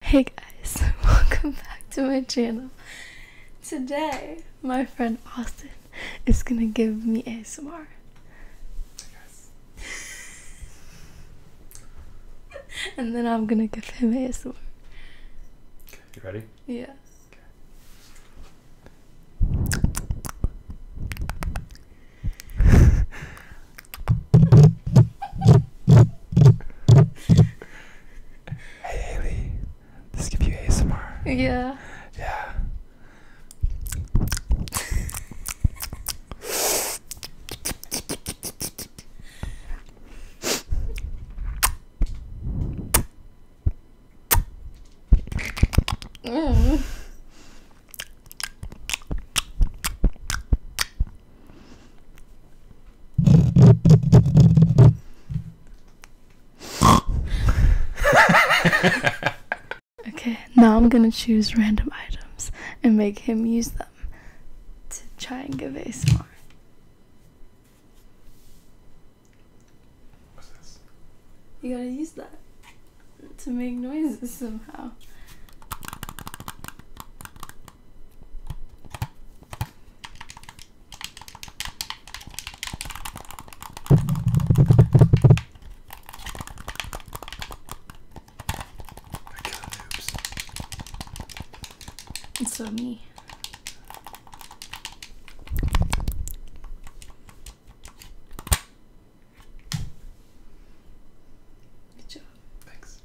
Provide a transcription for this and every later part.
Hey guys, welcome back to my channel. Today, my friend Austin is gonna give me a smar, and then I'm gonna give him a ASMR. You ready? Yeah. Okay. Hey Haley, this give you ASMR. Yeah. Yeah. Mm okay, now I'm gonna choose random items and make him use them to try and give ASMR. What's this? You gotta use that to make noises somehow. And so me. Good job. Thanks.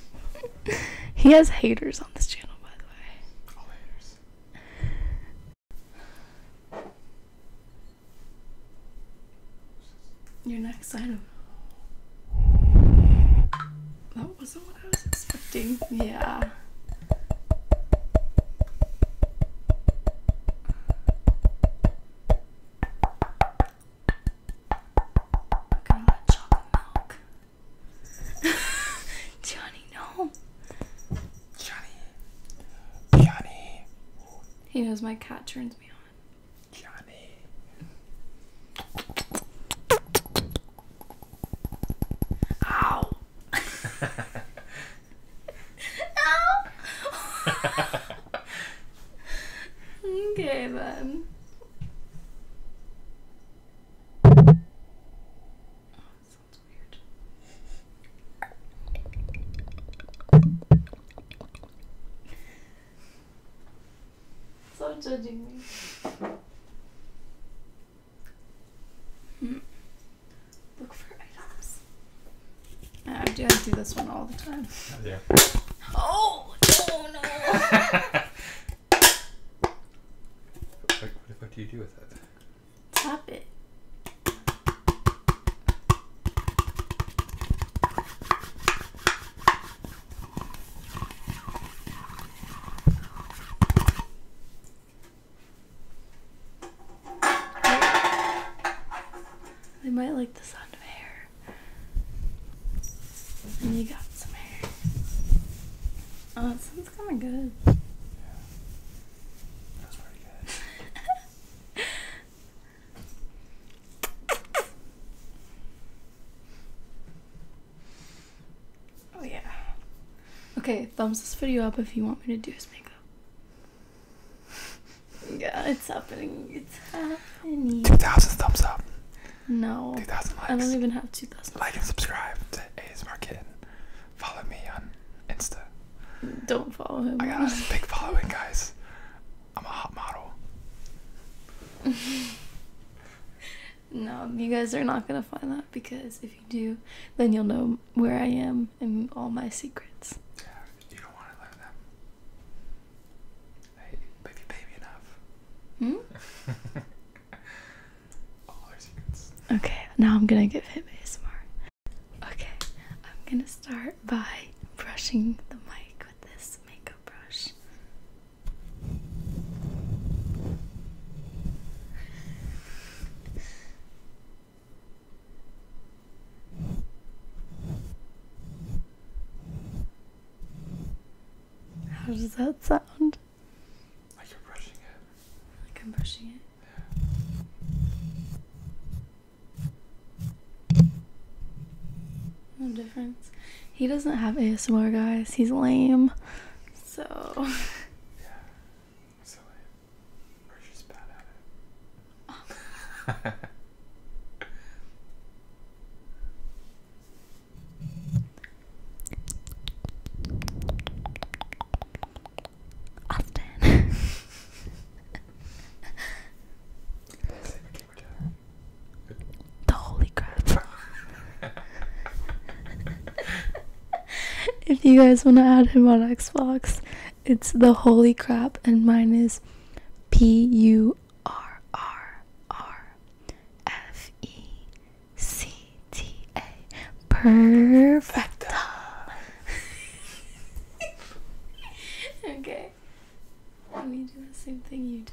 he has haters on this channel, by the way. All haters. Your next item. That wasn't what I was expecting. Yeah. We're chocolate milk. Johnny, no. Johnny. Johnny. He knows my cat turns me on. Johnny. Ow. okay then. Oh, judging me. Hmm. Look for items. I do, this one all the time. Oh, no! what, do you do with that? Tap it. They might like the sound of hair. And you got some hair. Oh, it sounds kind of good. That's pretty good. Oh yeah. Okay, thumbs this video up if you want me to do his makeup. Yeah, it's happening. It's happening. 2,000 thumbs up. No. 2,000 likes. I don't even have 2,000. Like and subscribe to A's Kitten. Follow me on Insta. Don't follow him. I got a big following, guys. I'm a hot model. No, you guys are not gonna find that because if you do, then you'll know where I am and all my secrets. Yeah, you don't want to learn them. Hey, but if you pay me enough. Hmm? all Okay, now I'm gonna give him ASMR. Okay, I'm gonna start by brushing the mic with this makeup brush. How does that sound? Like you're brushing it. Like I'm brushing it. No difference. He doesn't have ASMR, guys. He's lame. So. yeah. Silly. Or she's bad at it. Austin. the Holy Crap. if you guys want to add him on Xbox, it's the Holy Crap, and mine is P U R R R F E C T A. Perfect. okay. Let me do the same thing you did.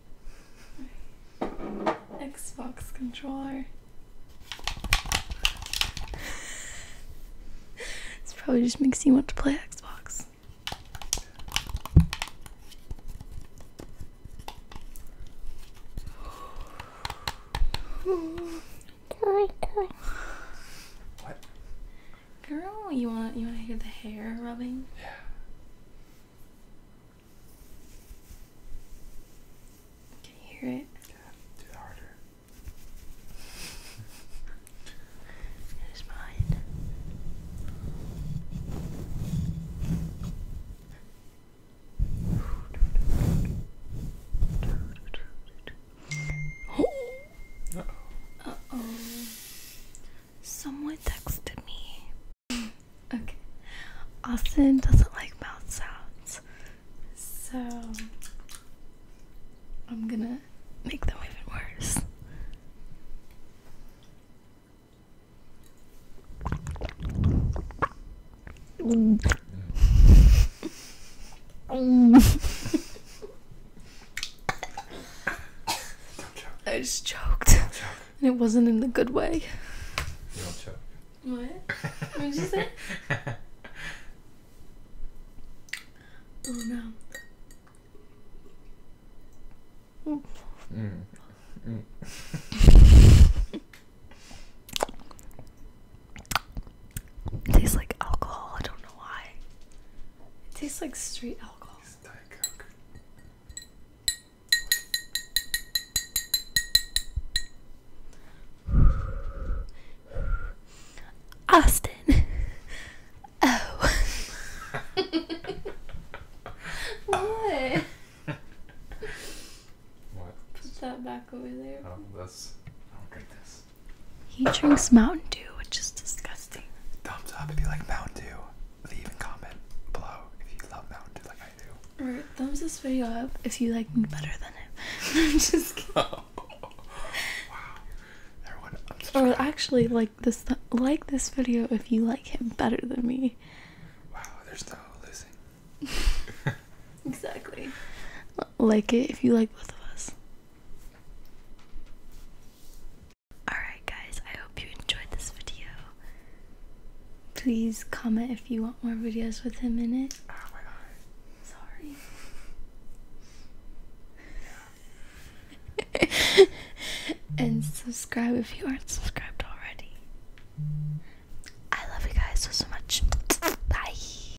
Xbox controller. this probably just makes you want to play Xbox. Girl, What? Girl, you want you want to hear the hair rubbing? Yeah. Can you hear it? do it harder. it is mine. Uh oh. Uh oh. Someone texted me. okay. Austin doesn't like mouth sounds. So I'm gonna make them even worse. I just choked. And it wasn't in the good way. What? What did you say? oh no. Mm. Mm. Tastes like alcohol. I don't know why. It tastes like straight alcohol. Austin. Oh. what? What? Put that back over there. Oh, that's. I'll drink this. He drinks Mountain Dew, which is disgusting. Thumbs up if you like Mountain Dew. Leave a comment below if you love Mountain Dew like I do. Or thumbs this video up if you like me better than him. I'm just kidding. wow. or actually, like this, like this video if you like him better than me. Wow, there's no losing. exactly. Like it if you like both of us. Alright, guys, I hope you enjoyed this video. Please comment if you want more videos with him in it. Oh my god. Sorry. and subscribe if you aren't subscribed already. I love you guys so so much. Bye.